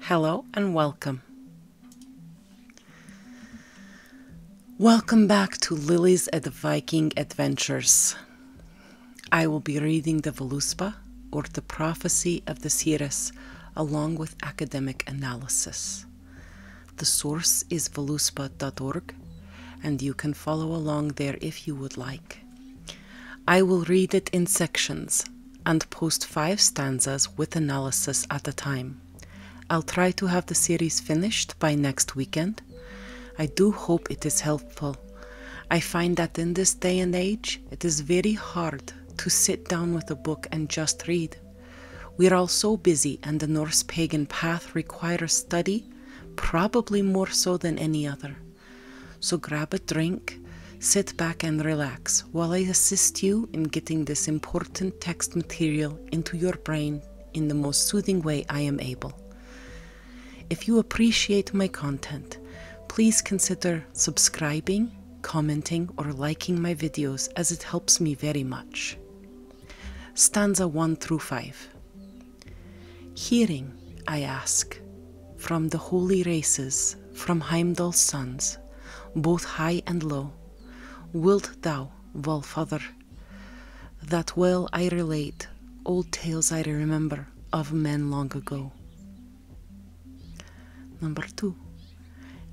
Hello and welcome. Welcome back to Lily's at Viking Adventures. I will be reading the Voluspa, or the Prophecy of the Sires, along with academic analysis. The source is voluspa.org, and you can follow along there if you would like. I will read it in sections and post five stanzas with analysis at a time. I'll try to have the series finished by next weekend. I do hope it is helpful. I find that in this day and age, it is very hard to sit down with a book and just read. We're all so busy, and the Norse pagan path requires study, probably more so than any other. So grab a drink, sit back and relax while I assist you in getting this important text material into your brain in the most soothing way I am able. If you appreciate my content, please consider subscribing, commenting, or liking my videos as it helps me very much. Stanza 1 through 5 Hearing, I ask, from the holy races, from Heimdall's sons, both high and low, wilt thou, Valfather, that well I relate old tales I remember of men long ago. Number two,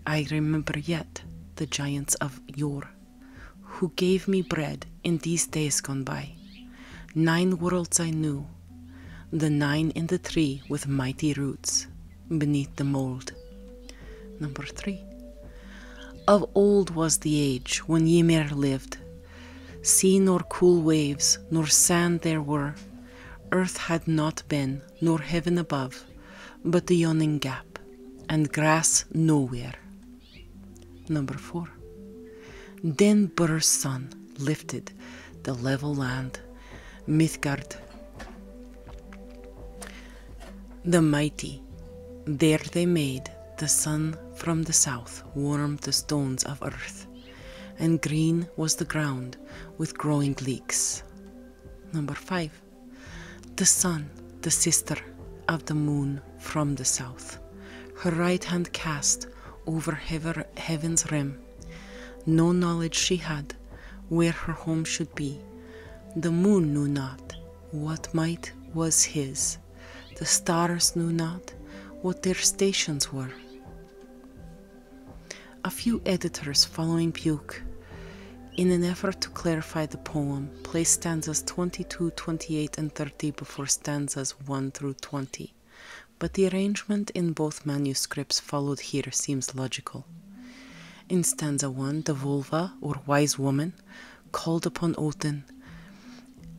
I remember yet the giants of yore, who gave me bread in these days gone by. Nine worlds I knew, the nine in the tree with mighty roots beneath the mold. Number three. Of old was the age when Ymir lived. Sea nor cool waves, nor sand there were. Earth had not been, nor heaven above, but the yawning gap, and grass nowhere. Number four. Then Burr's son, lifted the level land, Midgard. The mighty, there they made the sun from the south warm the stones of earth, and green was the ground with growing leeks. Number five, the sun, the sister of the moon from the south, her right hand cast over heaven's rim no knowledge she had where her home should be. The moon knew not what might was his. The stars knew not what their stations were. A few editors following Buke, in an effort to clarify the poem, placed stanzas 22, 28, and 30 before stanzas 1 through 20, but the arrangement in both manuscripts followed here seems logical. In stanza 1, the vulva, or wise woman, called upon Odin,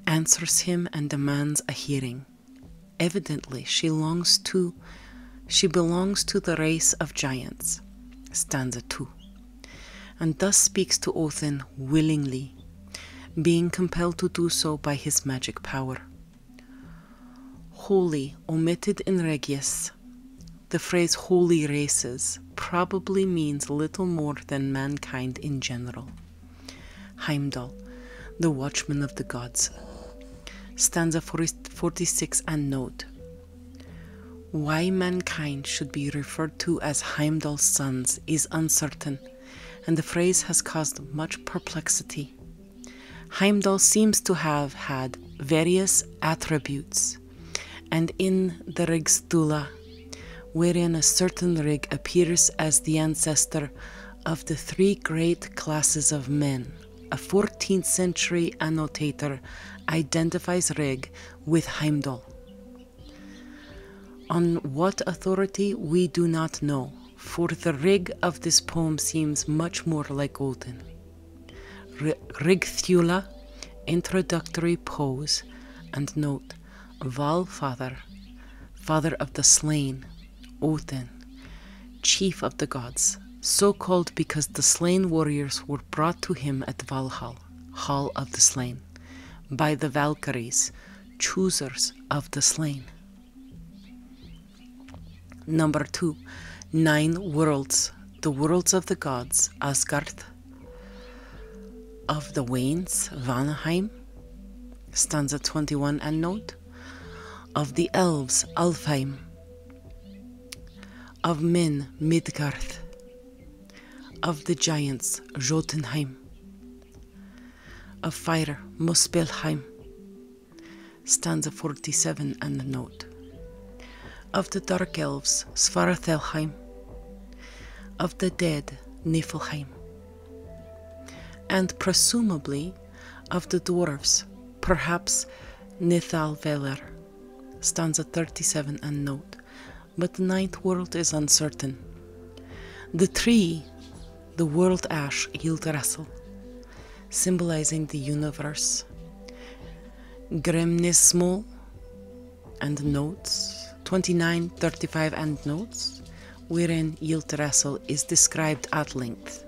answers him and demands a hearing. Evidently, she longs to she belongs to the race of giants. Stanza 2. And thus speaks to Odin willingly, being compelled to do so by his magic power. Holy, omitted in Regius. The phrase holy races probably means little more than mankind in general. Heimdall, the watchman of the gods. Stanza 46 and note. Why mankind should be referred to as Heimdall's sons is uncertain, and the phrase has caused much perplexity. Heimdall seems to have had various attributes, and in the Rigstula, wherein a certain Rig appears as the ancestor of the three great classes of men, a 14th century annotator identifies Rig with Heimdall. On what authority we do not know, for the rig of this poem seems much more like Odin. Rigthula, introductory pose, and note Valfather, father of the slain, Odin, chief of the gods, so called because the slain warriors were brought to him at Valhalla, Hall of the Slain, by the Valkyries, choosers of the slain. Number two, nine worlds, the worlds of the gods, Asgard, of the Wains, Vanheim, stanza 21 and note, of the elves, Alfheim, of men, Midgard, of the giants, Jotunheim, of fire, Muspelheim, stanza 47 and note. Of the Dark Elves, Svartálheim. Of the dead, Niflheim. And presumably of the dwarves, perhaps Nithalveler, stanza 37 and note, but the ninth world is uncertain. The tree the world ash yield symbolizing the universe. Gremnis small and notes, 29, 35 and notes, wherein yield is described at length.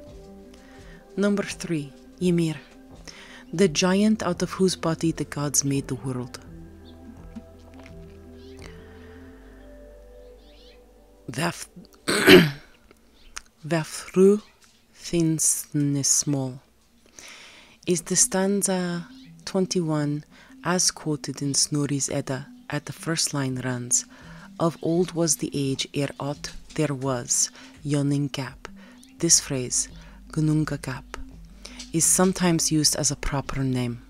Number 3. Ymir, the giant out of whose body the gods made the world. Vaf Verfru Thinsnesmol is the stanza 21 as quoted in Snorri's Edda at the first line runs Of old was the age ere aught there was, gap." This phrase, Gnungagap, is sometimes used as a proper name.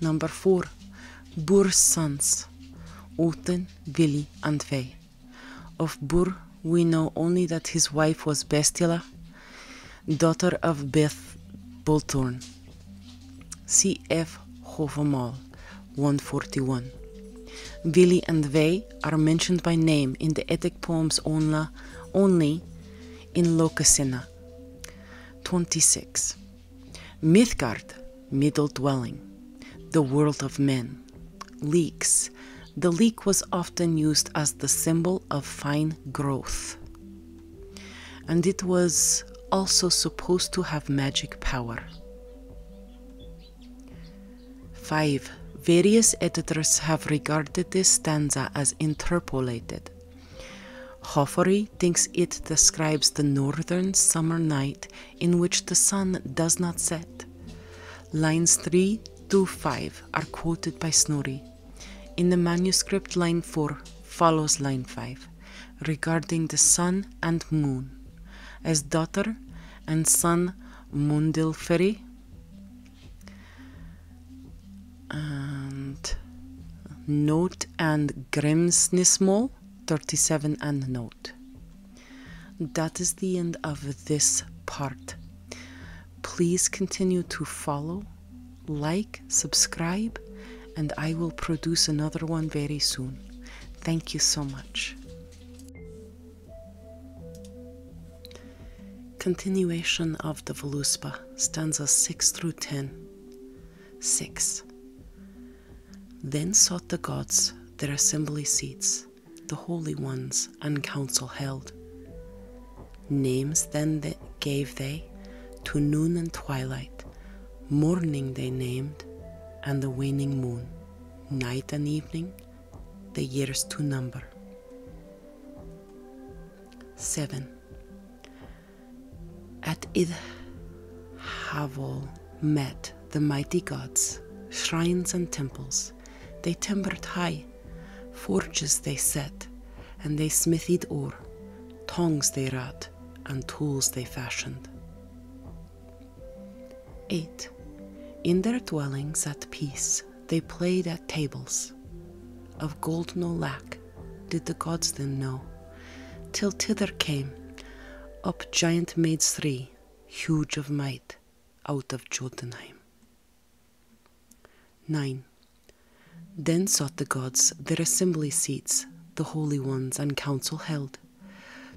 Number 4. sons, Oten vil Odin Of Bur, we know only that his wife was Bestila, daughter of Beth Bolthorn. C.F. Hovemal, 141. Vili and Vei are mentioned by name in the Eddic poems only, in Locasenna, 26. Midgard, middle dwelling, the world of men, leeks. The leek was often used as the symbol of fine growth. And it was also supposed to have magic power. 5. Various editors have regarded this stanza as interpolated. Hoffery thinks it describes the northern summer night in which the sun does not set. Lines 3 to 5 are quoted by Snorri. In the manuscript, line 4 follows line 5 regarding the sun and moon. As daughter and son Mundilfari. and Note and Grimsnismal 37 and note. That is the end of this part. Please continue to follow, like, subscribe, and I will produce another one very soon. Thank you so much. Continuation of the Voluspa, stanza 6 through 10. 6. Then sought the gods their assembly seats, the holy ones and council held. Names then gave they to noon and twilight, morning they named, and the waning moon, night and evening, the years to number. 7. At Idhavol met the mighty gods, shrines and temples. They timbered high, forges they set, and they smithied ore, tongs they wrought, and tools they fashioned. 8. In their dwellings at peace, they played at tables. Of gold no lack did the gods then know, till thither came up giant maids three, huge of might, out of Jotunheim. 9. Then sought the gods their assembly seats, the holy ones and council held,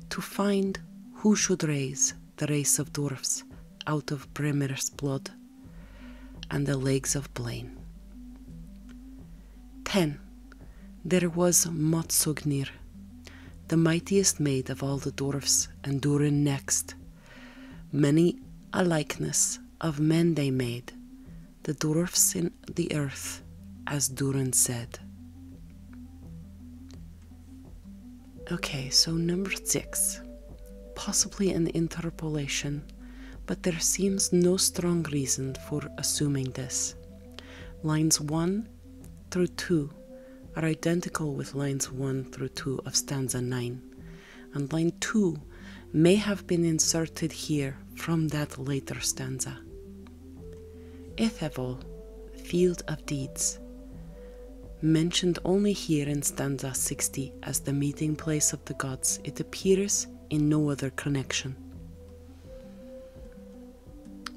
to find who should raise the race of dwarfs out of Bremer's blood and the legs of Blaine. 10. There was Matsognir, the mightiest maid of all the dwarfs, and Durin next. Many a likeness of men they made, the dwarfs in the earth, as Durin said. Okay, so number six. Possibly an interpolation, but there seems no strong reason for assuming this. Lines 1 through 2 are identical with lines 1 through 2 of stanza 9, and line 2 may have been inserted here from that later stanza. Ethevol, field of deeds, mentioned only here in stanza 60 as the meeting place of the gods, it appears in no other connection.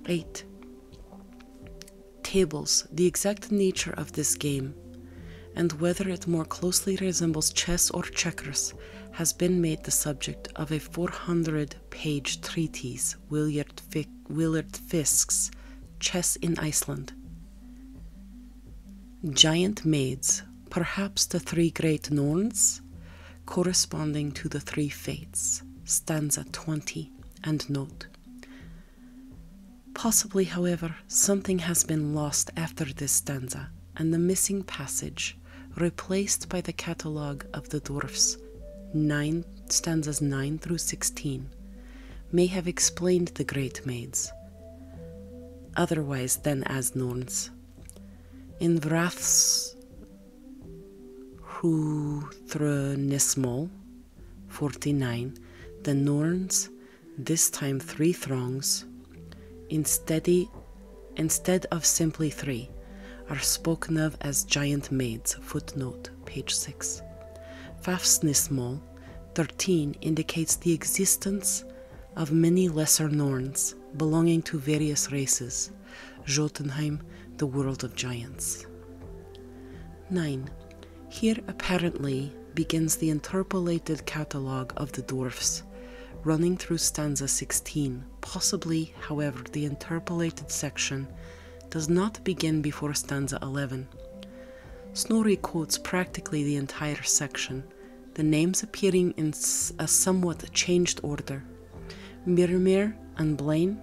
8. Tables, the exact nature of this game, and whether it more closely resembles chess or checkers, has been made the subject of a 400 page treatise, Willard, Fick, Fiske's Chess in Iceland. Giant maids, perhaps the three great Norns, corresponding to the three fates, stanza 20 and note. Possibly, however, something has been lost after this stanza, and the missing passage, replaced by the catalogue of the dwarfs, nine, stanzas 9 through 16, may have explained the great maids, otherwise than as Norns. In Wrath's Huthrenesmol 49, the Norns, this time three throngs, instead, instead of simply three, are spoken of as giant maids, footnote, page 6. Fafsnismol 13 indicates the existence of many lesser Norns belonging to various races, Jotunheim, the world of giants. 9. Here apparently begins the interpolated catalogue of the dwarfs, running through stanza 16. Possibly, however, the interpolated section does not begin before stanza 11. Snorri quotes practically the entire section, the names appearing in a somewhat changed order. Mirmir and Blaine.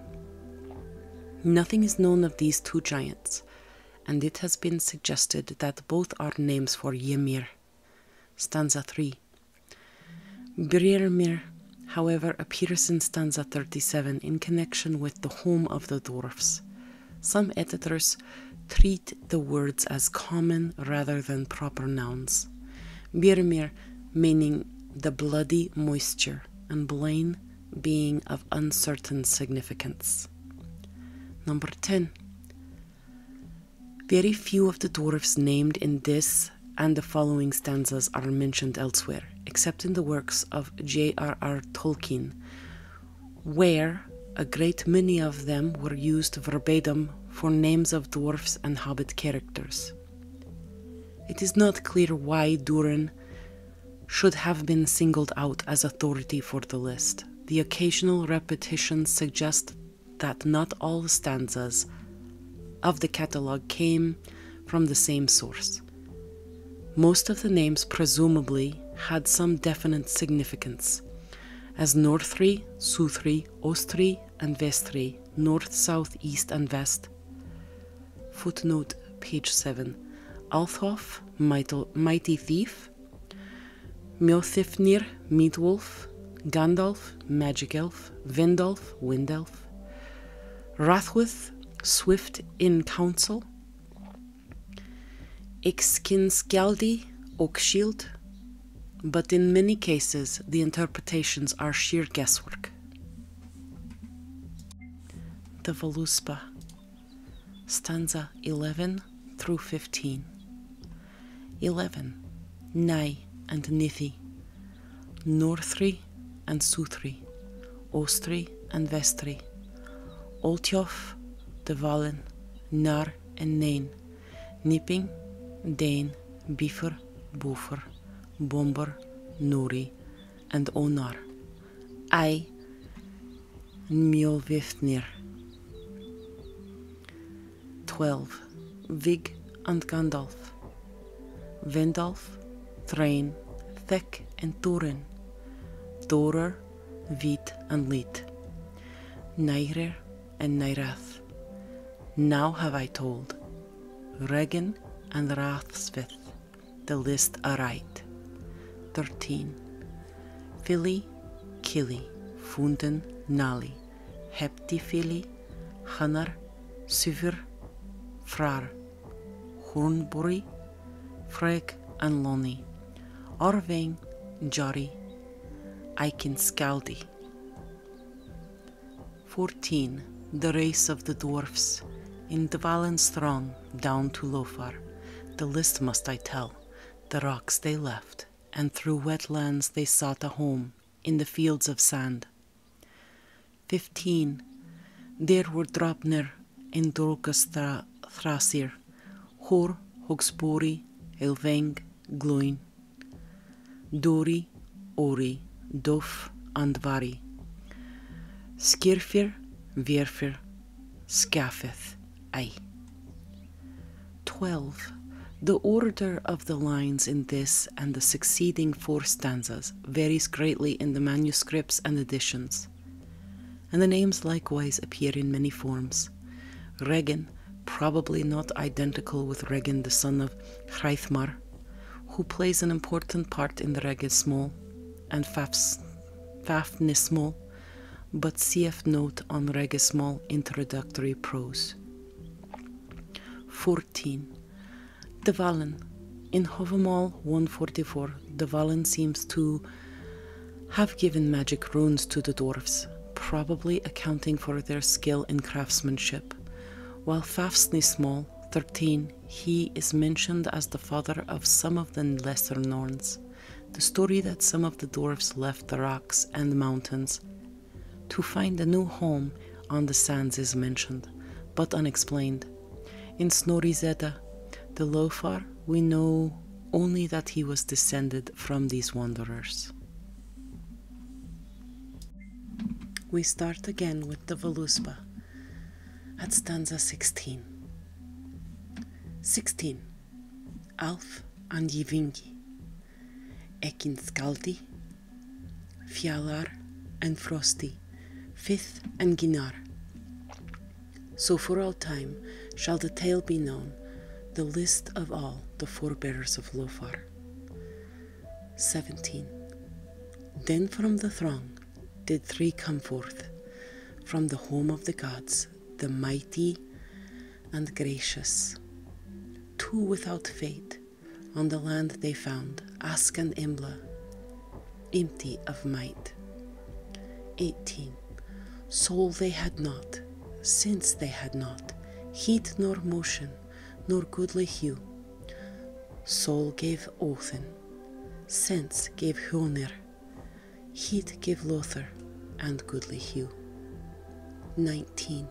Nothing is known of these two giants, and it has been suggested that both are names for Ymir. Stanza 3. Brirmir, however, appears in stanza 37 in connection with the home of the dwarfs. Some editors treat the words as common rather than proper nouns. Birmir meaning the bloody moisture, and Blaine being of uncertain significance. Number 10. Very few of the dwarfs named in this and the following stanzas are mentioned elsewhere, except in the works of J.R.R. Tolkien, where a great many of them were used verbatim for names of dwarfs and hobbit characters. It is not clear why Duran should have been singled out as authority for the list. The occasional repetitions suggest that not all stanzas of the catalogue came from the same source. Most of the names presumably had some definite significance, as Northri, Southri, Ostri, and Vestri, north, south, east, and west, Footnote page 7. Althof, Mighty Thief, Mjolnir, wolf; Gandalf, Magic Elf, wind elf; Rathwith, Swift in counsel; Council, Ixkinskjaldi, shield. but in many cases the interpretations are sheer guesswork. The Voluspa, stanza 11 through 15. 11. Nai and Nithi, Northri and Sutri, Ostri and Vestri, Oltjof, the Valen, Nar and Nain, Nipping, Dane, Biefer, Boefer, Bomber, Nori, and honor. I, Mjolvifnir. 12. Vig and Gandalf. Vendalf, Thrain, Thek and Turin. Thorer, Vit and Lit. Nairer and Nairath. Now have I told, Regan and Rathsvith. The list aright. 13. Philly, Killy, Funden, Nali, Heptifili, Hanar, Suvir, Frar, Hornbury, Freg and Lonnie, Orvein, Jari, Eikinskaldi. 14. The Race of the Dwarfs. In the Dvalan throng down to Lofar. The list must I tell. The rocks they left, and through wetlands they sought a home, in the fields of sand. 15. There were Drapnir in Dorkastra Thrasir, Hor, Hogsbori, Elveng, Gluin, Dori, Uri, Uri, and Vari. Skirfir, Virfir, Skafeth, Ei. 12. The order of the lines in this and the succeeding four stanzas varies greatly in the manuscripts and editions, and the names likewise appear in many forms. Regin, probably not identical with Regin the son of Hreithmar, who plays an important part in the regismol and fafnismol, but cf note on regismol introductory prose. 14. the Valen, In Hovemol 144, the Valen seems to have given magic runes to the dwarfs, probably accounting for their skill in craftsmanship, while Fafsnismol 13 he is mentioned as the father of some of the lesser Norns. The story that some of the dwarfs left the rocks and mountains to find a new home on the sands is mentioned, but unexplained. In Snorri's Zeta, the Lofar, we know only that he was descended from these wanderers. We start again with the Voluspa, at stanza 16. 16. Alf and Yvingi, Ekin Skaldi, Fjalar and Frosti, Fifth and Ginnar. So for all time shall the tale be known, the list of all the forebears of Lofar. 17. Then from the throng did three come forth from the home of the gods, the mighty and gracious. Two without fate on the land they found, Ask and Imbla, empty of might. 18. Soul they had not, sense they had not, heat nor motion, nor goodly hue, Soul gave Othin, sense gave Hönir, heat gave Lothar, and goodly hue. 19.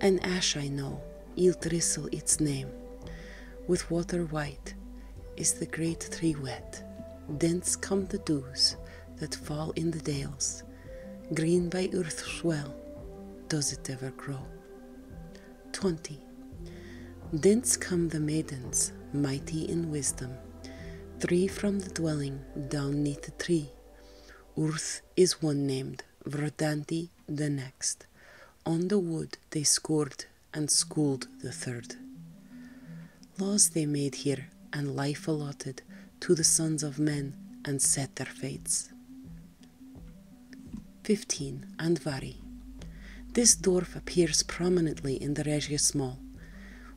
An ash I know, Yildrisel its name, with water white is the great tree wet, thence come the dews that fall in the dales, green by earth's well, does it ever grow. 20. Thence come the maidens, mighty in wisdom, three from the dwelling down neath the tree. Urth is one named, Vradanti the next. On the wood they scored and schooled the third. Laws they made here, and life allotted to the sons of men, and set their fates. 15. Andvari. This dwarf appears prominently in the Regius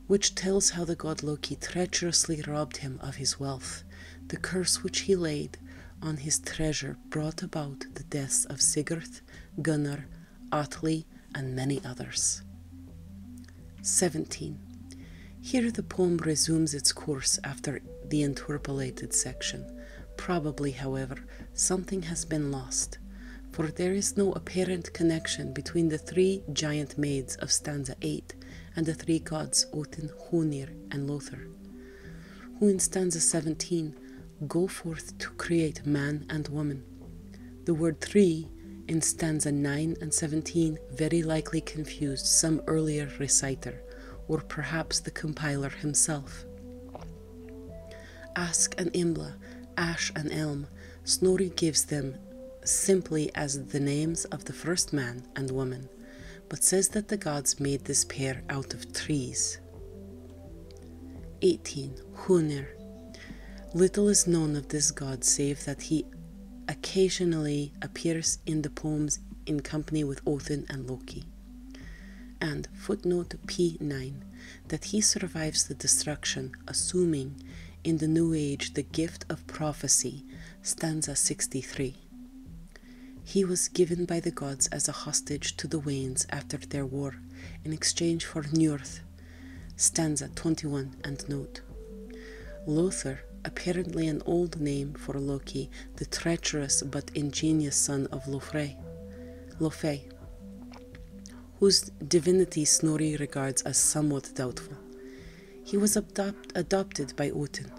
which tells how the god Loki treacherously robbed him of his wealth. The curse which he laid on his treasure brought about the deaths of Sigurth, Gunnar, Atli, and many others. 17. Here the poem resumes its course after the interpolated section. Probably, however, something has been lost, for there is no apparent connection between the three giant maids of stanza 8 and the three gods Odin, Hunir, and Lothar, who in stanza 17 go forth to create man and woman. The word "three" in stanza 9 and 17 very likely confused some earlier reciter or perhaps the compiler himself. Ask and Imbla, Ash and Elm, Snorri gives them simply as the names of the first man and woman, but says that the gods made this pair out of trees. 18. Hunir. Little is known of this god save that he occasionally appears in the poems in company with Odin and Loki and footnote P9 that he survives the destruction, assuming in the New Age the gift of prophecy, stanza 63. He was given by the gods as a hostage to the Wanes after their war in exchange for Njörth, stanza 21 and note. Lothar, apparently an old name for Loki, the treacherous but ingenious son of Lofrey, Lofey, whose divinity Snorri regards as somewhat doubtful. He was adopted by Utin,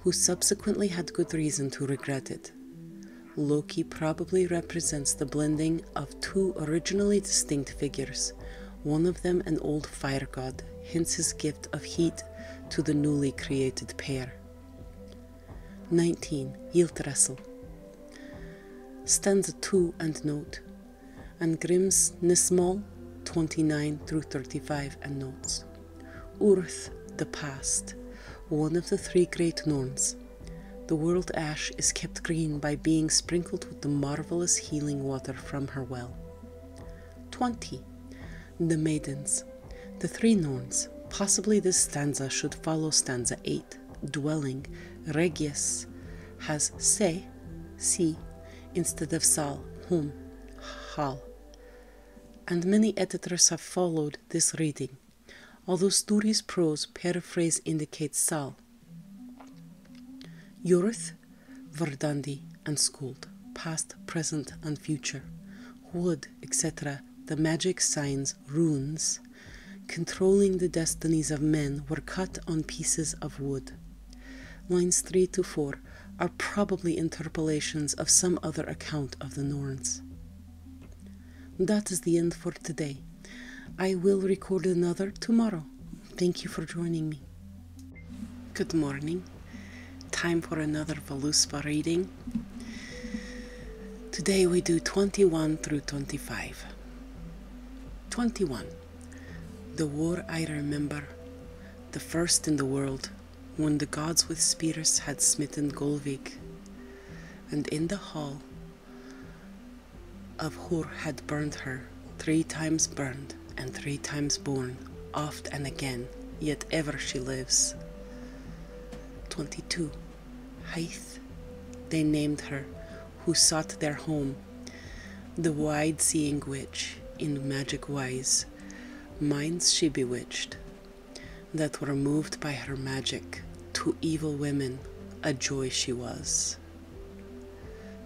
who subsequently had good reason to regret it. Loki probably represents the blending of two originally distinct figures, one of them an old fire god, hence his gift of heat to the newly created pair. 19. Yildrassil. Stanza 2 and note, and Grimm's Nismal 29 through 35 and notes. Urth, the past, one of the three great Norns. The world ash is kept green by being sprinkled with the marvelous healing water from her well. 20. The Maidens. The Three Norns. Possibly this stanza should follow stanza 8. Dwelling, Regius, has se, si, instead of sal, whom, Hall. And many editors have followed this reading, although Sturi's prose paraphrase indicates sal. Yurth, Verdandi, and Skuld, past, present, and future. would etc., the magic signs, runes, controlling the destinies of men were cut on pieces of wood. Lines 3 to 4 are probably interpolations of some other account of the Norns. That is the end for today. I will record another tomorrow. Thank you for joining me. Good morning. Time for another Voluspa reading. Today we do 21 through 25. 21. The war I remember, the first in the world, when the gods with spears had smitten Golvik, and in the hall of Hur had burned her, three times burned and three times born, oft and again, yet ever she lives. 22. Haith, they named her, who sought their home, the wide seeing witch, in magic wise, minds she bewitched, that were moved by her magic, to evil women, a joy she was.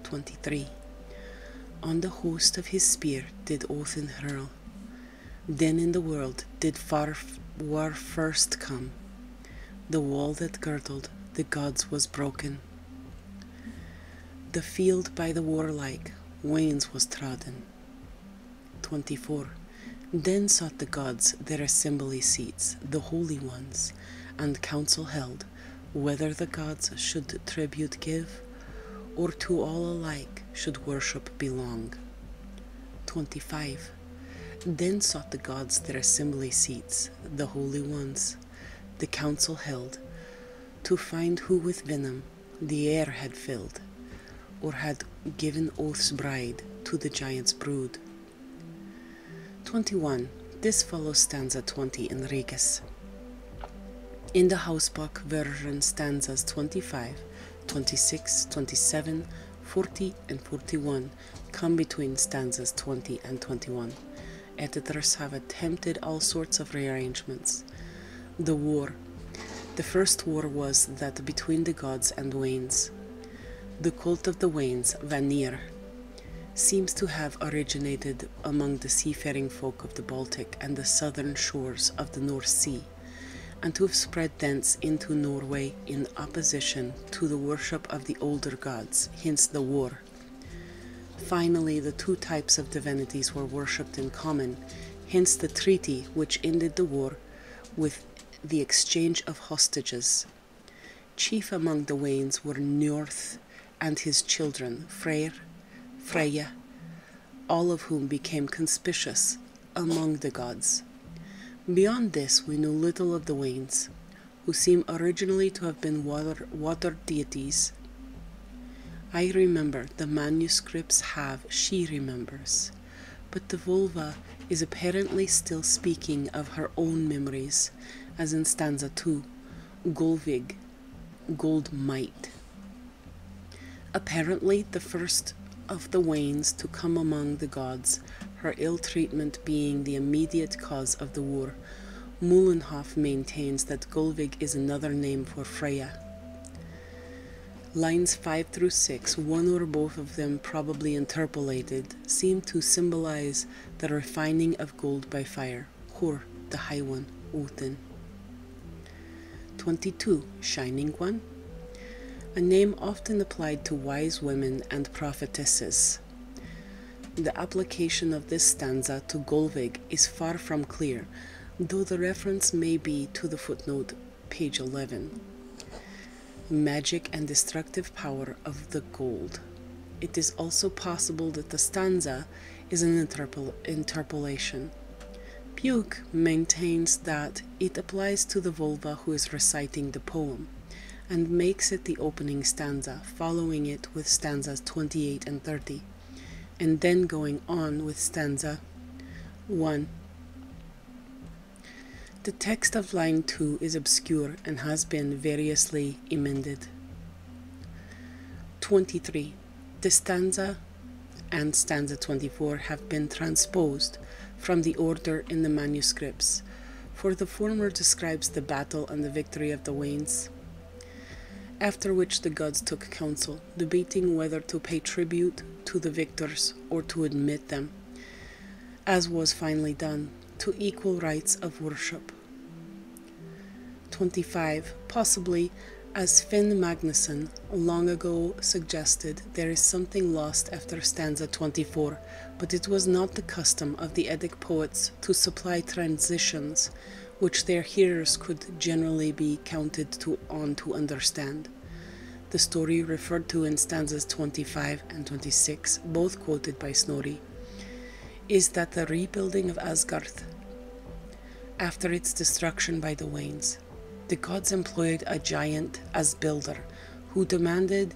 23. On the host of his spear did Othin hurl, then in the world did far war first come. The wall that girdled the gods was broken. The field by the warlike Wains was trodden. 24. Then sought the gods their assembly seats, the holy ones, and council held whether the gods should tribute give, or to all alike should worship belong. 25. Then sought the gods their assembly seats, the holy ones, the council held, to find who with venom the air had filled, or had given oath's bride to the giant's brood. 21. This follows stanza 20 in Regis. In the Hausbach version, stanzas 25 26, 27, 40, and 41 come between stanzas 20 and 21. Editors have attempted all sorts of rearrangements. The war. The first war was that between the gods and the Wanes. The cult of the Wanes, Vanir, seems to have originated among the seafaring folk of the Baltic and the southern shores of the North Sea and to have spread thence into Norway in opposition to the worship of the older gods, hence the war. Finally, the two types of divinities were worshipped in common, hence the treaty which ended the war with the exchange of hostages. Chief among the Wanes were Njörth and his children, Freyr, Freya, all of whom became conspicuous among the gods. Beyond this, we know little of the Wanes, who seem originally to have been water, water deities. I remember the manuscripts have she remembers, but the vulva is apparently still speaking of her own memories, as in stanza 2, Golvig, gold might. Apparently, the first of the Wanes to come among the gods, her ill treatment being the immediate cause of the war. Mullenhoff maintains that Gulvig is another name for Freya. Lines 5 through 6, one or both of them probably interpolated, seem to symbolize the refining of gold by fire, Hor, the High One, Odin. 22. Shining One, a name often applied to wise women and prophetesses. The application of this stanza to Golvig is far from clear, though the reference may be to the footnote, page 11. Magic and destructive power of the gold. It is also possible that the stanza is an interpolation. Puig maintains that it applies to the Volva who is reciting the poem and makes it the opening stanza, following it with stanzas 28 and 30, and then going on with stanza 1. The text of line 2 is obscure and has been variously emended. 23. The stanza and stanza 24 have been transposed from the order in the manuscripts, for the former describes the battle and the victory of the Wanes. After which the gods took counsel, debating whether to pay tribute to the victors or to admit them, as was finally done, to equal rights of worship. 25. Possibly as Finn Magnusson long ago suggested, there is something lost after stanza 24, but it was not the custom of the Eddic poets to supply transitions which their hearers could generally be counted on to understand. The story referred to in stanzas 25 and 26, both quoted by Snorri, is that the rebuilding of Asgarth after its destruction by the Wanes the gods employed a giant as builder who demanded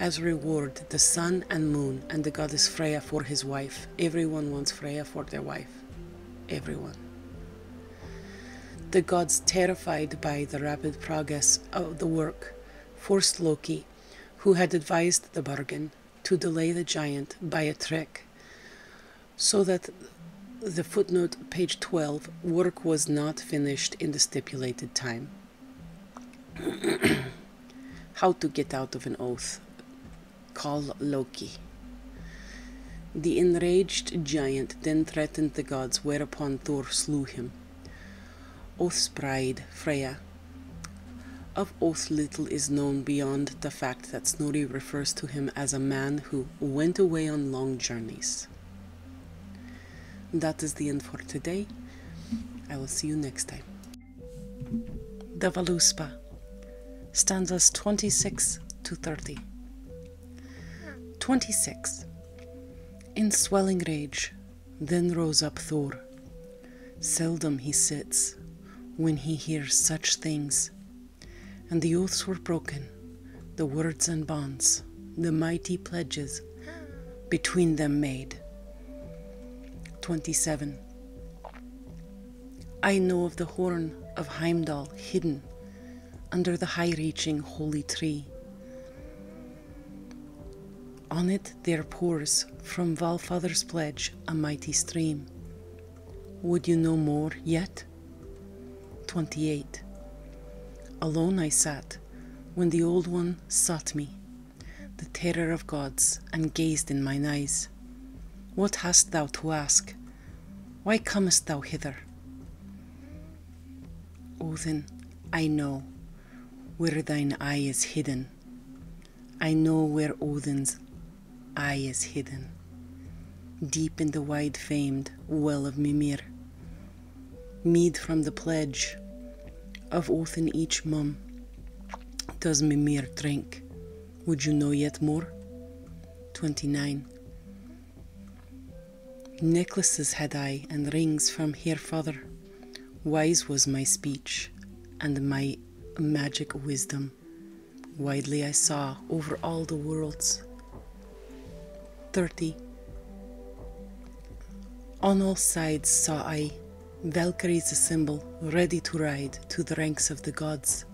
as reward the sun and moon and the goddess Freya for his wife. Everyone wants Freya for their wife. Everyone. The gods, terrified by the rapid progress of the work, forced Loki, who had advised the bargain, to delay the giant by a trick so that the footnote, page 12, work was not finished in the stipulated time. How to get out of an oath. Call Loki. The enraged giant then threatened the gods, whereupon Thor slew him. Oath's bride, Freya. Of Oath little is known beyond the fact that Snorri refers to him as a man who went away on long journeys. That is the end for today. I will see you next time. The Valuspa, stanzas 26 to 30. 26. In swelling rage, then rose up Thor. Seldom he sits when he hears such things and the oaths were broken, the words and bonds, the mighty pledges between them made. 27. I know of the horn of Heimdall hidden under the high reaching holy tree. On it there pours from Valfather's pledge a mighty stream. Would you know more yet? night. 28. Alone I sat when the Old One sought me, the terror of gods, and gazed in mine eyes. What hast thou to ask? Why comest thou hither? Odin, I know where thine eye is hidden. I know where Odin's eye is hidden deep in the wide famed well of Mimir. Mead from the pledge of oath in each mum does Mimir drink. Would you know yet more? 29. Necklaces had I and rings from her father. Wise was my speech and my magic wisdom. Widely I saw over all the worlds. 30. On all sides saw I Valkyrie's assemble, ready to ride to the ranks of the gods.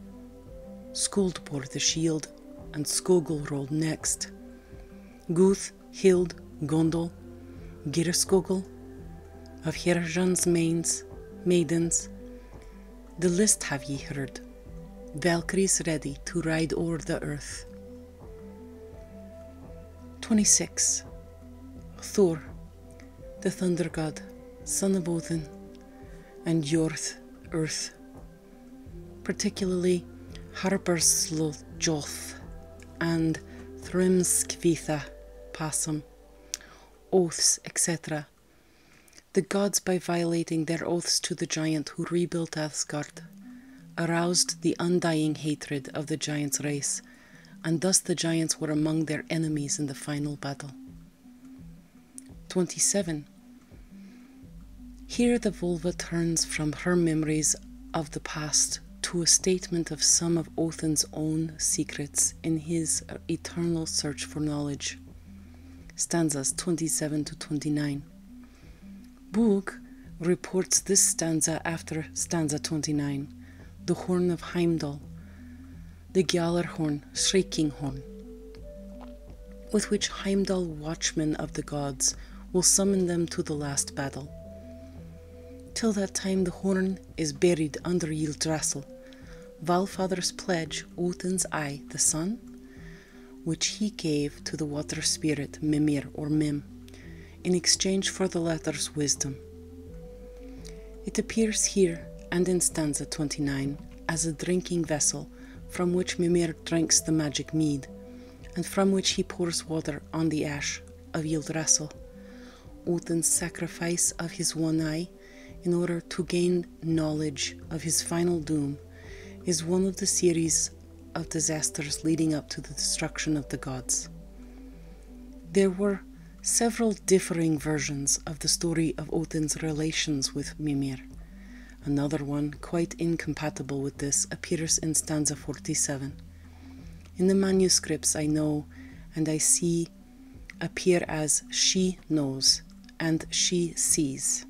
Skuld bore the shield, and Skogul rolled next. Guth, Hild, Gondor, Girskogul, of Hirajan's mains, maidens, the list have ye heard. Valkyries ready to ride o'er the earth. 26. Thor, the thunder god, son of Odin, and Jorth, earth, particularly Harpersloth and Thrymskvitha, Passum, oaths, etc. The gods by violating their oaths to the giant who rebuilt Asgard aroused the undying hatred of the giants' race, and thus the giants were among their enemies in the final battle. 27. Here the vulva turns from her memories of the past to a statement of some of Othin's own secrets in his eternal search for knowledge. Stanzas 27 to 29. Buch reports this stanza after stanza 29, the horn of Heimdall, the shrieking horn, with which Heimdall, watchman of the gods, will summon them to the last battle. Till that time, the horn is buried under Yggdrasil, Valfather's pledge, Odin's eye, the sun, which he gave to the water spirit Mimir or Mim in exchange for the latter's wisdom. It appears here and in stanza 29 as a drinking vessel from which Mimir drinks the magic mead and from which he pours water on the ash of Yildrassil, Odin's sacrifice of his one eye in order to gain knowledge of his final doom is one of the series of disasters leading up to the destruction of the gods. There were several differing versions of the story of Odin's relations with Mimir. Another one, quite incompatible with this, appears in stanza 47. In the manuscripts I know and I see appear as she knows and she sees.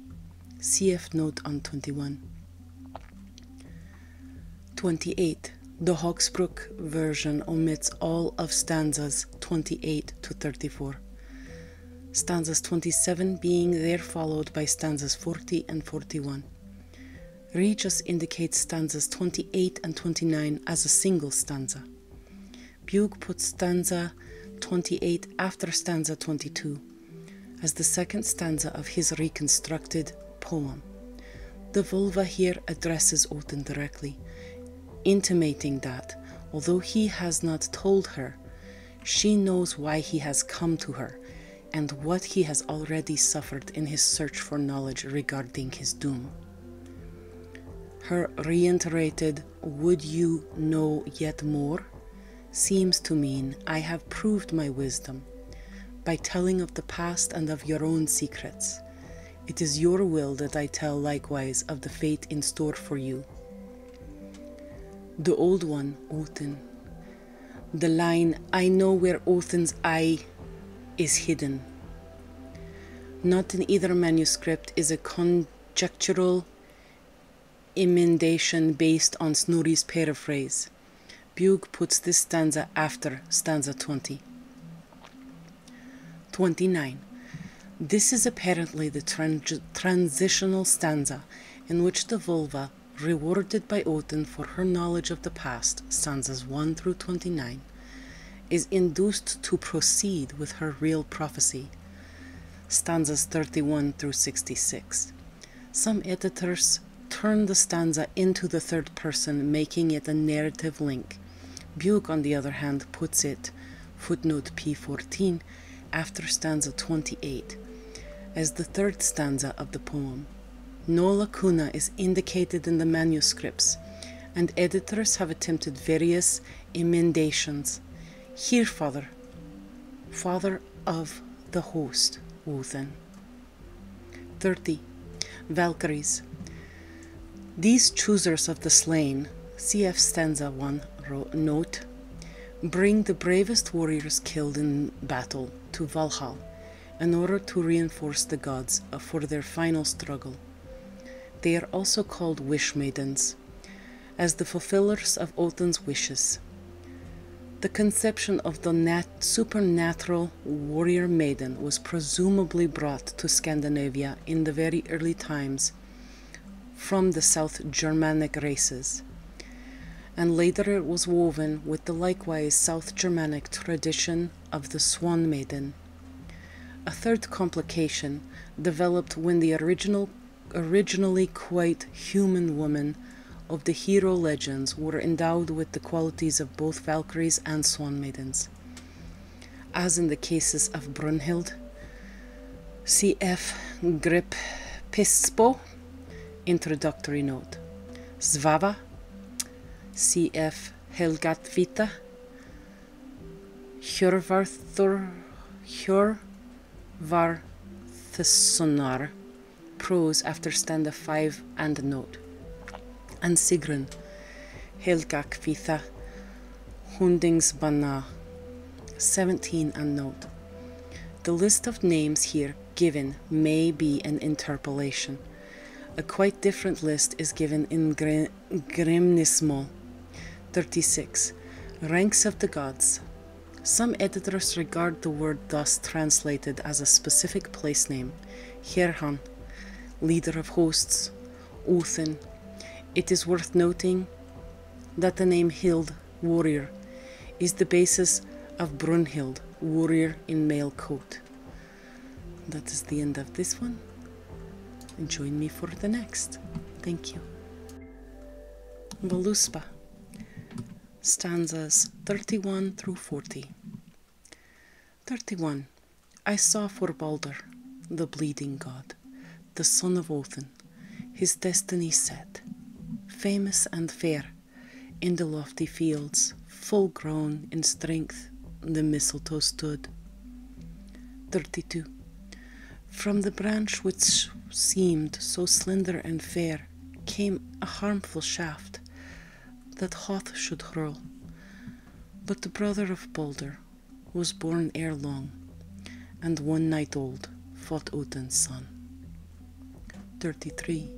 CF note on 21. 28. The Hawksbrook version omits all of stanzas 28 to 34. Stanzas 27 being there followed by stanzas 40 and 41. Regis indicates stanzas 28 and 29 as a single stanza. Bug puts stanza 28 after stanza 22 as the second stanza of his reconstructed poem. The vulva here addresses Oten directly, intimating that, although he has not told her, she knows why he has come to her and what he has already suffered in his search for knowledge regarding his doom. Her reiterated, Would you know yet more? seems to mean I have proved my wisdom by telling of the past and of your own secrets. It is your will that I tell likewise of the fate in store for you. The old one, Othin. The line, I know where Othin's eye is hidden. Not in either manuscript is a conjectural emendation based on Snorri's paraphrase. Bug puts this stanza after stanza 20. 29. This is apparently the transitional stanza in which the vulva, rewarded by Odin for her knowledge of the past, stanzas 1 through 29, is induced to proceed with her real prophecy, stanzas 31 through 66. Some editors turn the stanza into the third person, making it a narrative link. Buick, on the other hand, puts it, footnote P14, after stanza 28, as the third stanza of the poem. No lacuna is indicated in the manuscripts, and editors have attempted various emendations. Here, Father, Father of the host, Wothan. 30. Valkyries. These choosers of the slain, cf stanza 1, note, bring the bravest warriors killed in battle to Valhalla in order to reinforce the gods uh, for their final struggle. They are also called wish maidens as the fulfillers of Odin's wishes. The conception of the supernatural warrior maiden was presumably brought to Scandinavia in the very early times from the South Germanic races, and later it was woven with the likewise South Germanic tradition of the swan maiden. A third complication developed when the original originally quite human women of the hero legends were endowed with the qualities of both Valkyries and Swan Maidens. As in the cases of Brunhild, C.F. Grip Pispo, introductory note, Svava, C.F. Helgatvita, Hjörvarthur, Hjör Var, Varthsonar, prose after stanza 5 and note, and Sigrun, Helgakvitha, Kvitha, 17 and note. The list of names here given may be an interpolation. A quite different list is given in Gre- 36, Ranks of the Gods, some editors regard the word thus translated as a specific place name, Herhan, leader of hosts, Uthin. It is worth noting that the name Hild, warrior, is the basis of Brunhild, warrior in male coat. That is the end of this one. Join me for the next. Thank you. Voluspa stanzas 31 through 40. 31. I saw for Balder, the bleeding god, the son of Odin, his destiny set, famous and fair, in the lofty fields, full grown in strength, the mistletoe stood. 32. From the branch which seemed so slender and fair, came a harmful shaft that Hoth should hurl. But the brother of Balder was born ere long, and one night old fought Odin's son. 33.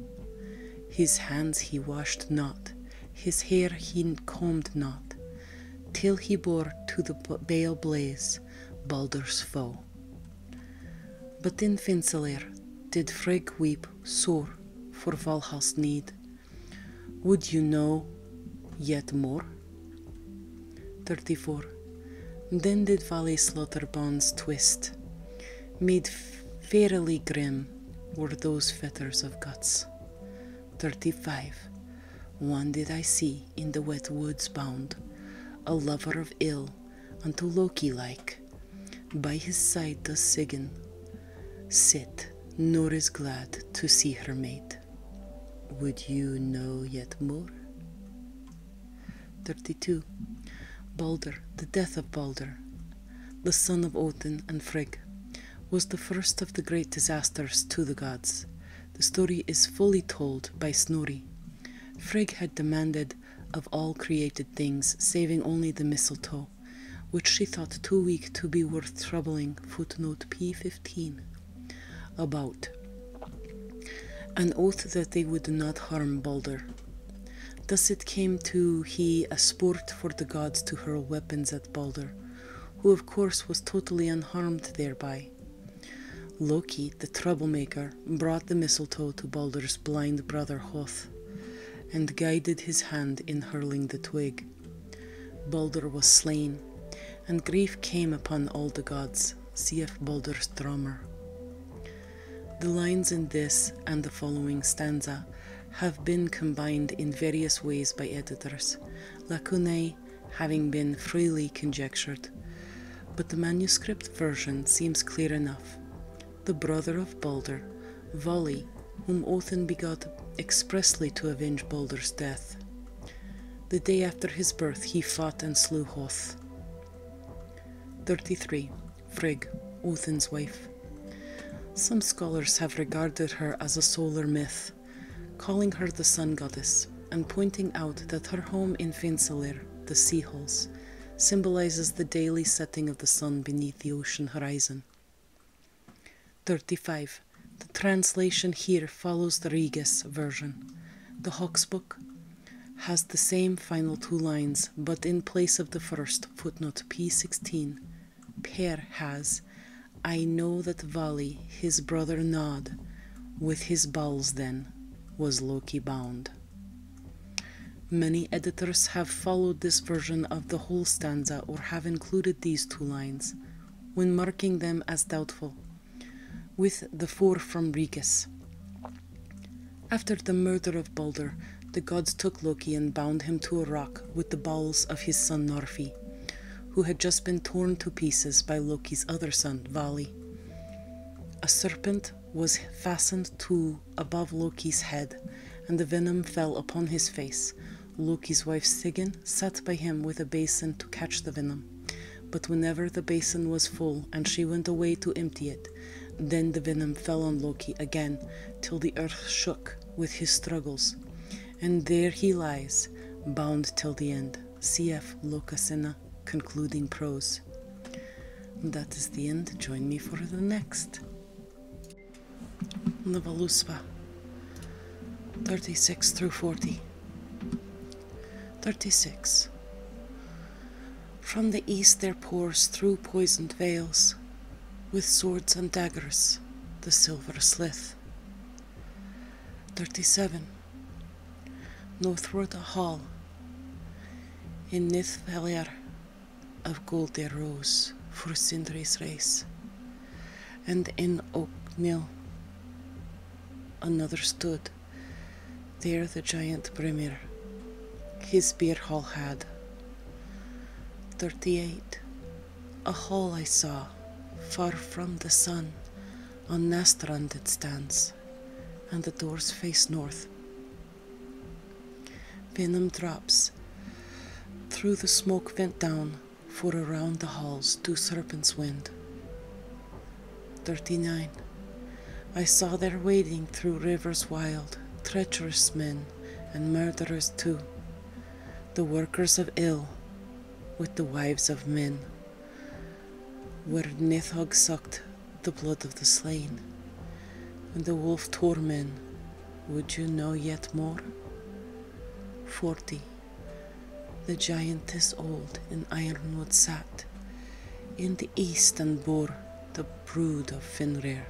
His hands he washed not, his hair he combed not, till he bore to the bale blaze Balder's foe. But in Vinseler did Frigg weep sore for Valhall's need. Would you know yet more? 34. Then did Vali slaughter bonds twist. Made fairly grim were those fetters of guts. 35. One did I see in the wet woods bound, a lover of ill unto Loki like. By his side does Sigyn sit, nor is glad to see her mate. Would you know yet more? 32. Balder, the death of Balder, the son of Odin and Frigg, was the first of the great disasters to the gods. The story is fully told by Snorri. Frigg had demanded of all created things, saving only the mistletoe, which she thought too weak to be worth troubling. Footnote P15. About an oath that they would not harm Balder. Thus it came to he a sport for the gods to hurl weapons at Balder, who of course was totally unharmed thereby. Loki, the troublemaker, brought the mistletoe to Baldur's blind brother Hoth and guided his hand in hurling the twig. Baldur was slain, and grief came upon all the gods. Cf. Baldur's Drummer. The lines in this and the following stanza have been combined in various ways by editors, lacunae having been freely conjectured but the manuscript version seems clear enough. The brother of Balder, Vali, whom Othin begot expressly to avenge Balder's death. The day after his birth, he fought and slew Hoth. 33. Frigg, Othin's wife. Some scholars have regarded her as a solar myth, calling her the sun goddess and pointing out that her home in Finsalir, the Sea Halls, symbolizes the daily setting of the sun beneath the ocean horizon. 35. The translation here follows the Regis version. The Hawk's Book has the same final two lines, but in place of the first, footnote P16, Per has, I know that Vali, his brother Nod, with his balls then, was Loki bound. Many editors have followed this version of the whole stanza or have included these two lines when marking them as doubtful, with the four from Regis. After the murder of Balder, the gods took Loki and bound him to a rock with the bowels of his son Norfi, who had just been torn to pieces by Loki's other son, Vali. A serpent was fastened to above Loki's head, and the venom fell upon his face. Loki's wife Sigyn sat by him with a basin to catch the venom. But whenever the basin was full and she went away to empty it, then the venom fell on Loki again, till the earth shook with his struggles. And there he lies, bound till the end. Cf. Locasena, concluding prose it. That is the end. Join me for the next. The Baluspa 36 through 40. 36. From the east there pours through poisoned veils, with swords and daggers, the silver slith. 37 northward hall in this of gold there rose for Sindri's race, and in Oakmill another stood, there the giant Bremir his beer hall had. Thirty eight, a hall I saw, far from the sun, on Nastrand it stands and the doors face north. Venom drops through the smoke vent down, for around the halls two serpents wind. 39. I saw there wading through rivers wild, treacherous men and murderers too, the workers of ill with the wives of men, where Nethog sucked the blood of the slain, and the wolf tore men, would you know yet more? Forty. The giantess old in Ironwood sat, in the east and bore the brood of Fenrir.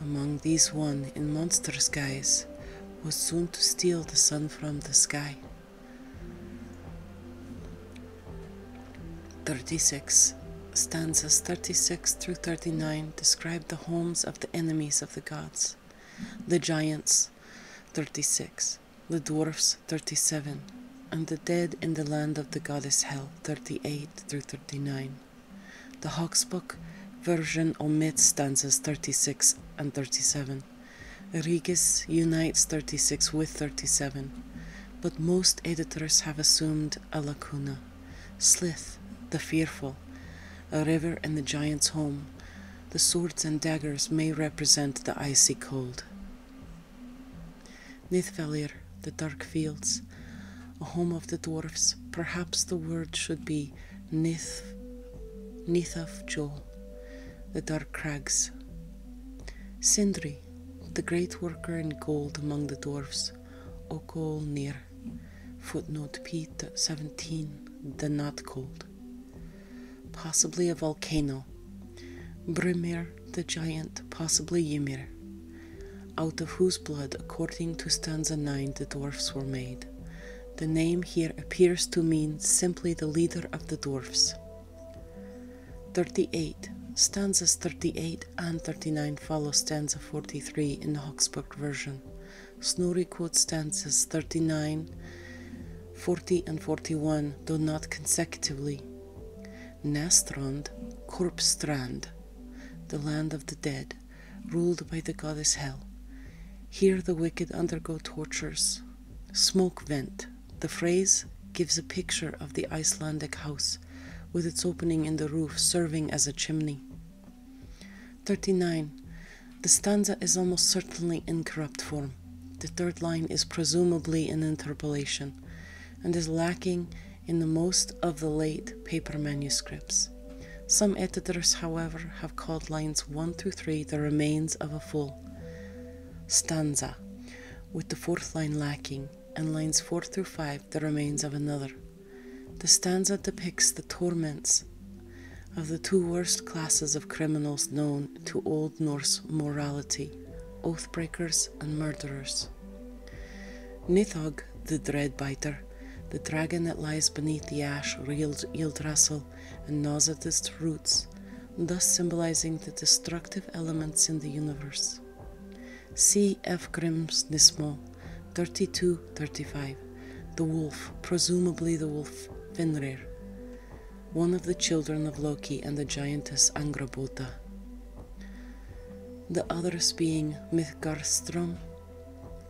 Among these one in monster's guise was soon to steal the sun from the sky. 36 stanzas 36 through 39 describe the homes of the enemies of the gods the giants 36 the dwarfs 37 and the dead in the land of the goddess hell 38 through 39 the hawksbook version omits stanzas 36 and 37 regis unites 36 with 37 but most editors have assumed a lacuna. Slith, the fearful, a river in the giant's home, the swords and daggers may represent the icy cold. Nithfelir, the dark fields, a home of the dwarfs, perhaps the word should be Nith, Nithaf Joel, the dark crags. Sindri, the great worker in gold among the dwarfs, Okolnir, footnote Pete 17, the not cold. Possibly a volcano. Brimir, the giant, possibly Ymir, out of whose blood, according to stanza 9, the dwarfs were made. The name here appears to mean simply the leader of the dwarfs. 38. Stanzas 38 and 39 follow stanza 43 in the Hoxburg version. Snorri quotes stanzas 39, 40, and 41, though not consecutively. Nastrond, Korpstrand, the land of the dead, ruled by the goddess Hel. Here the wicked undergo tortures. Smoke vent, the phrase gives a picture of the Icelandic house, with its opening in the roof serving as a chimney. 39. The stanza is almost certainly in corrupt form. The third line is presumably an interpolation and is lacking in the most of the late paper manuscripts. Some editors, however, have called lines 1 to 3 the remains of a full stanza, with the fourth line lacking, and lines 4 through 5 the remains of another. The stanza depicts the torments of the two worst classes of criminals known to Old Norse morality oath breakers and murderers. Nithog, the dread biter, the dragon that lies beneath the ash, reels Yildrassil and gnaws roots, thus symbolizing the destructive elements in the universe. C. F. Grimsnismal, 3235, the wolf, presumably the wolf Fenrir, one of the children of Loki and the giantess Angrabota. The others being Midgarstrom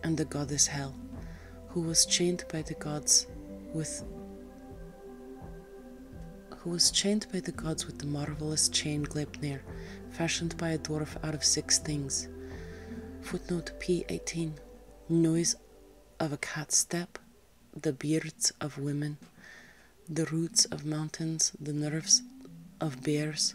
and the goddess Hel, who was chained by the gods with who was chained by the gods with the marvelous chain Gleipnir, fashioned by a dwarf out of six things. Footnote P18 Noise of a cat's step, the beards of women, the roots of mountains, the nerves of bears,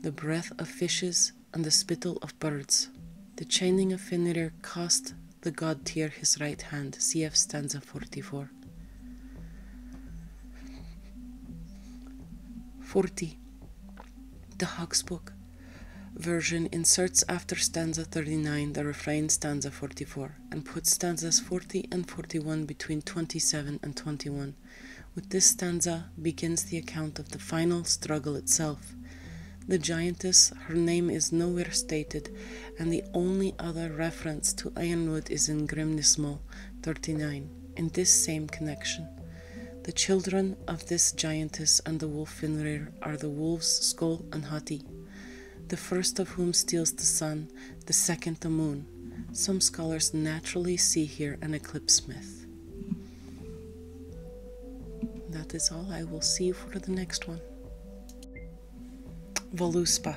the breath of fishes, and the spittle of birds. The chaining of Fenrir cost the god Tyr his right hand. Cf. stanza 44. 40. The Hawk's Book version inserts after stanza 39 the refrain stanza 44 and puts stanzas 40 and 41 between 27 and 21. With this stanza begins the account of the final struggle itself. The giantess, her name is nowhere stated, and the only other reference to ironwood is in Grimnismal 39, in this same connection. The children of this giantess and the wolf Finrir are the wolves Skoll and Hati, the first of whom steals the sun, the second the moon. Some scholars naturally see here an eclipse myth. That is all I will see for the next one. Voluspa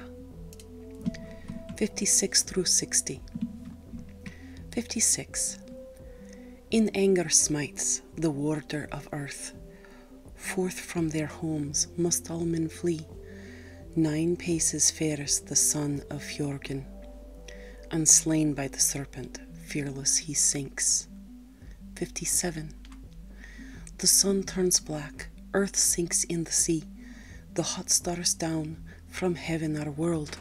56 through 60. 56. In anger smites the warder of earth. Forth from their homes must all men flee. Nine paces fares the son of Fjörgen. Unslain by the serpent, fearless he sinks. 57. The sun turns black, earth sinks in the sea, the hot stars down from heaven are whirled.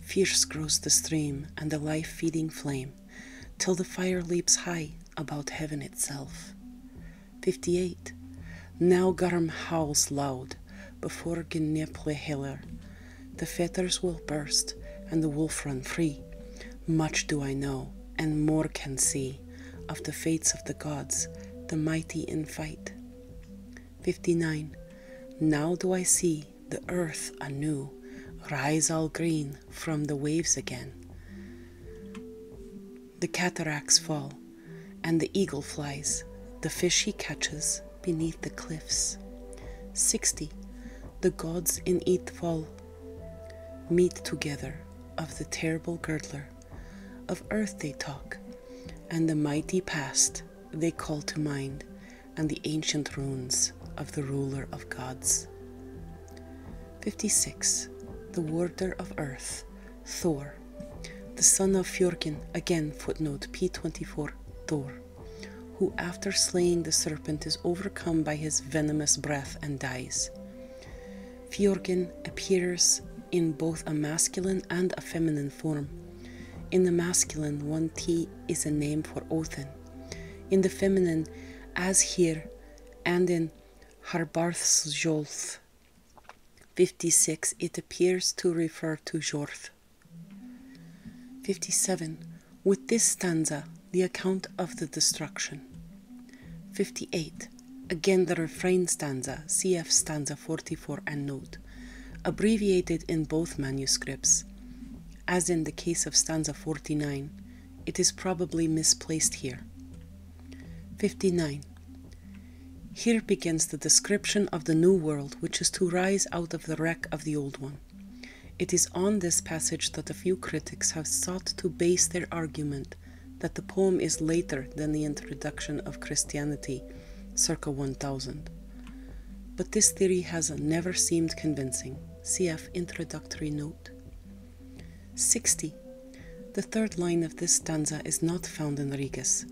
Fierce grows the stream and the life feeding flame, till the fire leaps high about heaven itself. 58. Now Garum howls loud before Gnepleheller. The fetters will burst and the wolf run free. Much do I know, and more can see of the fates of the gods, the mighty in fight. 59. Now do I see the earth anew rise all green from the waves again. The cataracts fall, and the eagle flies, the fish he catches beneath the cliffs. 60. The gods in it meet together of the terrible girdler of earth they talk, and the mighty past they call to mind, and the ancient runes of the ruler of gods. 56. The warder of earth, Thor, the son of Fjorkin again footnote P24, Thor, who after slaying the serpent is overcome by his venomous breath and dies. Fjorkin appears in both a masculine and a feminine form. In the masculine, one T is a name for Othin. In the feminine, as here and in Harbarthjolf 56, it appears to refer to Jorth. 57. With this stanza, the account of the destruction. 58. Again, the refrain stanza, cf stanza 44 and note, abbreviated in both manuscripts. As in the case of stanza 49, it is probably misplaced here. 59. Here begins the description of the new world which is to rise out of the wreck of the old one. It is on this passage that a few critics have sought to base their argument that the poem is later than the introduction of Christianity, circa 1000. But this theory has never seemed convincing. Cf. Introductory Note. 60. The third line of this stanza is not found in Rigas.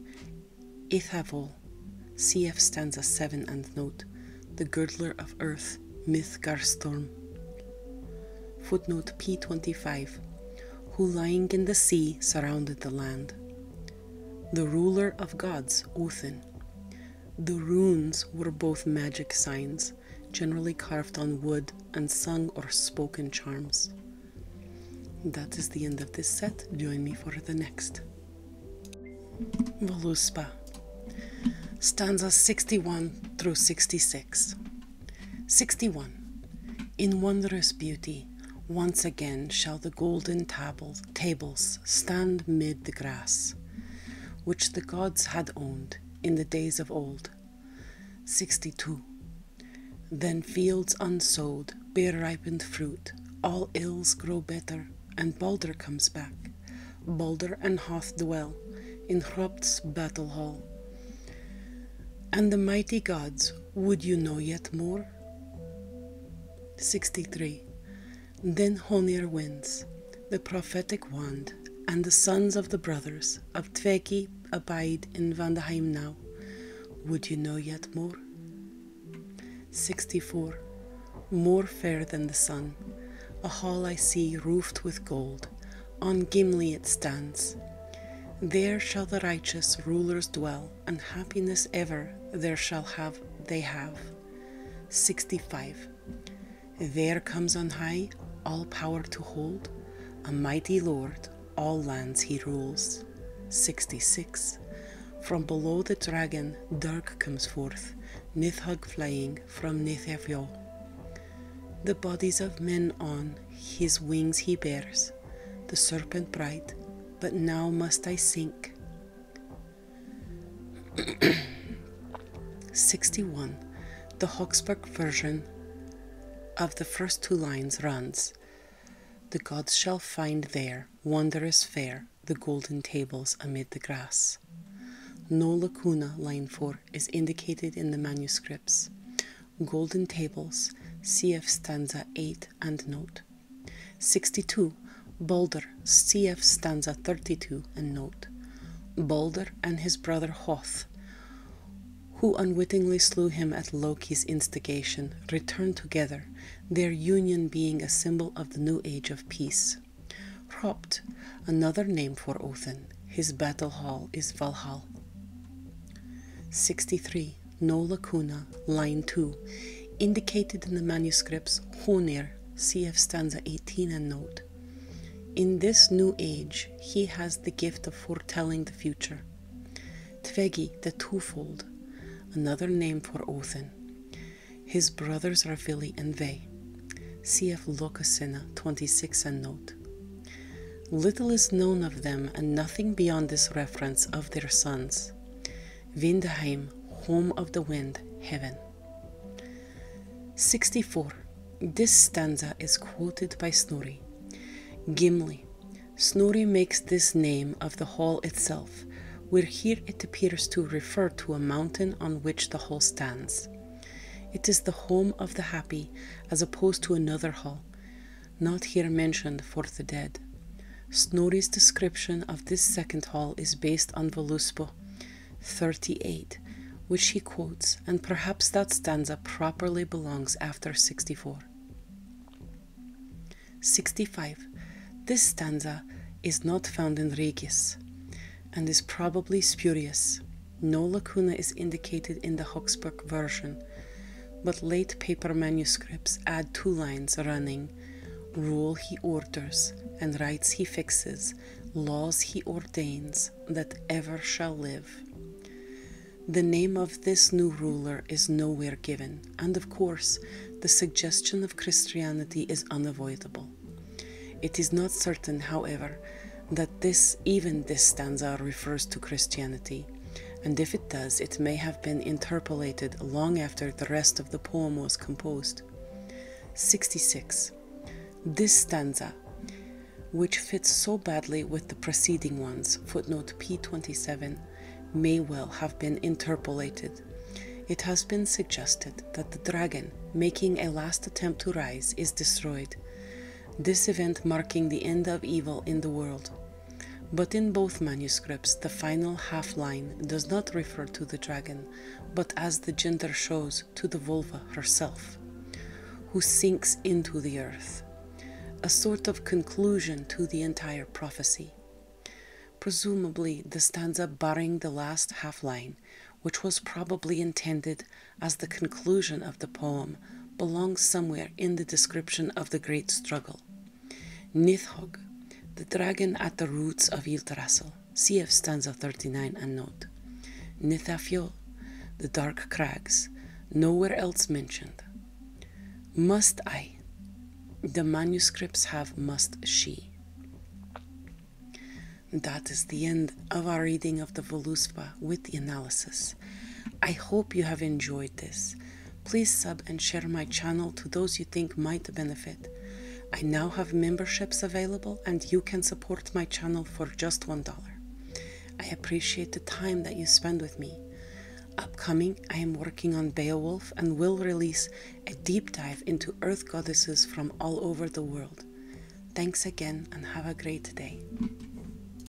Ithavol, cf. stanza 7 and note, the girdler of earth, Mythgarstorm. Footnote P25 who lying in the sea surrounded the land. The ruler of gods, Uthin. The runes were both magic signs, generally carved on wood and sung or spoken charms. That is the end of this set. Join me for the next. Voluspa, stanzas 61 through 66. 61. In wondrous beauty, once again shall the golden tables stand mid the grass, which the gods had owned in the days of old. 62. Then fields unsowed bear ripened fruit, all ills grow better, and Balder comes back. Balder and Hoth dwell in Hropt's battle hall and the mighty gods, would you know yet more? 63. Then Honir wins, the prophetic wand, and the sons of the brothers of Tveki abide in Vandaheim now. Would you know yet more? 64. More fair than the sun, a hall I see roofed with gold on Gimli it stands. There shall the righteous rulers dwell, and happiness ever there shall have they have. 65. There comes on high, all power to hold, a mighty Lord, all lands he rules. 66. From below the dragon, dark comes forth, Nithhug flying from Nithevyo. The bodies of men on his wings he bears, the serpent bright, but now must I sink. 61. The Hoxburg version of the first two lines runs The gods shall find there, wondrous fair, the golden tables amid the grass. No lacuna, line 4, is indicated in the manuscripts. Golden Tables, cf stanza 8 and note. 62. Balder, cf stanza 32 and note. Balder and his brother Hoth, who unwittingly slew him at Loki's instigation, return together, their union being a symbol of the new age of peace. Hropt, another name for Odin, his battle hall is Valhalla. 63. No lacuna, line 2, indicated in the manuscripts Honir, cf. stanza 18 and note. In this new age, he has the gift of foretelling the future. Tvegi, the twofold, another name for Othin. His brothers are Vili and Vei, Cf. Lokasena 26 and note. Little is known of them and nothing beyond this reference of their sons. Vindheim, home of the wind, heaven. 64. This stanza is quoted by Snorri. Gimli. Snorri makes this name of the hall itself, where here it appears to refer to a mountain on which the hall stands. It is the home of the happy, as opposed to another hall, not here mentioned for the dead. Snorri's description of this second hall is based on Voluspo, 38, which he quotes, and perhaps that stanza properly belongs after 64. 65. This stanza is not found in Regis and is probably spurious. No lacuna is indicated in the Hochsburg version, but late paper manuscripts add two lines running Rule he orders, and rights he fixes, laws he ordains, that ever shall live. The name of this new ruler is nowhere given, and of course, the suggestion of Christianity is unavoidable. It is not certain, however, that this even this stanza refers to Christianity, and if it does, it may have been interpolated long after the rest of the poem was composed. 66. This stanza, which fits so badly with the preceding ones, footnote P27, may well have been interpolated. It has been suggested that the dragon, making a last attempt to rise, is destroyed, this event marking the end of evil in the world. But in both manuscripts, the final half line does not refer to the dragon, but as the gender shows, to the vulva herself, who sinks into the earth, a sort of conclusion to the entire prophecy. Presumably, the stanza barring the last half line, which was probably intended as the conclusion of the poem, belongs somewhere in the description of the great struggle. Nithhog, the dragon at the roots of Yggdrasil, cf stanza 39 and note. Nithafjol, the dark crags, nowhere else mentioned. Must I? The manuscripts have must she. That is the end of our reading of the Voluspa with the analysis. I hope you have enjoyed this. Please sub and share my channel to those you think might benefit. I now have memberships available and you can support my channel for just $1. I appreciate the time that you spend with me. Upcoming, I am working on Beowulf and will release a deep dive into earth goddesses from all over the world. Thanks again and have a great day.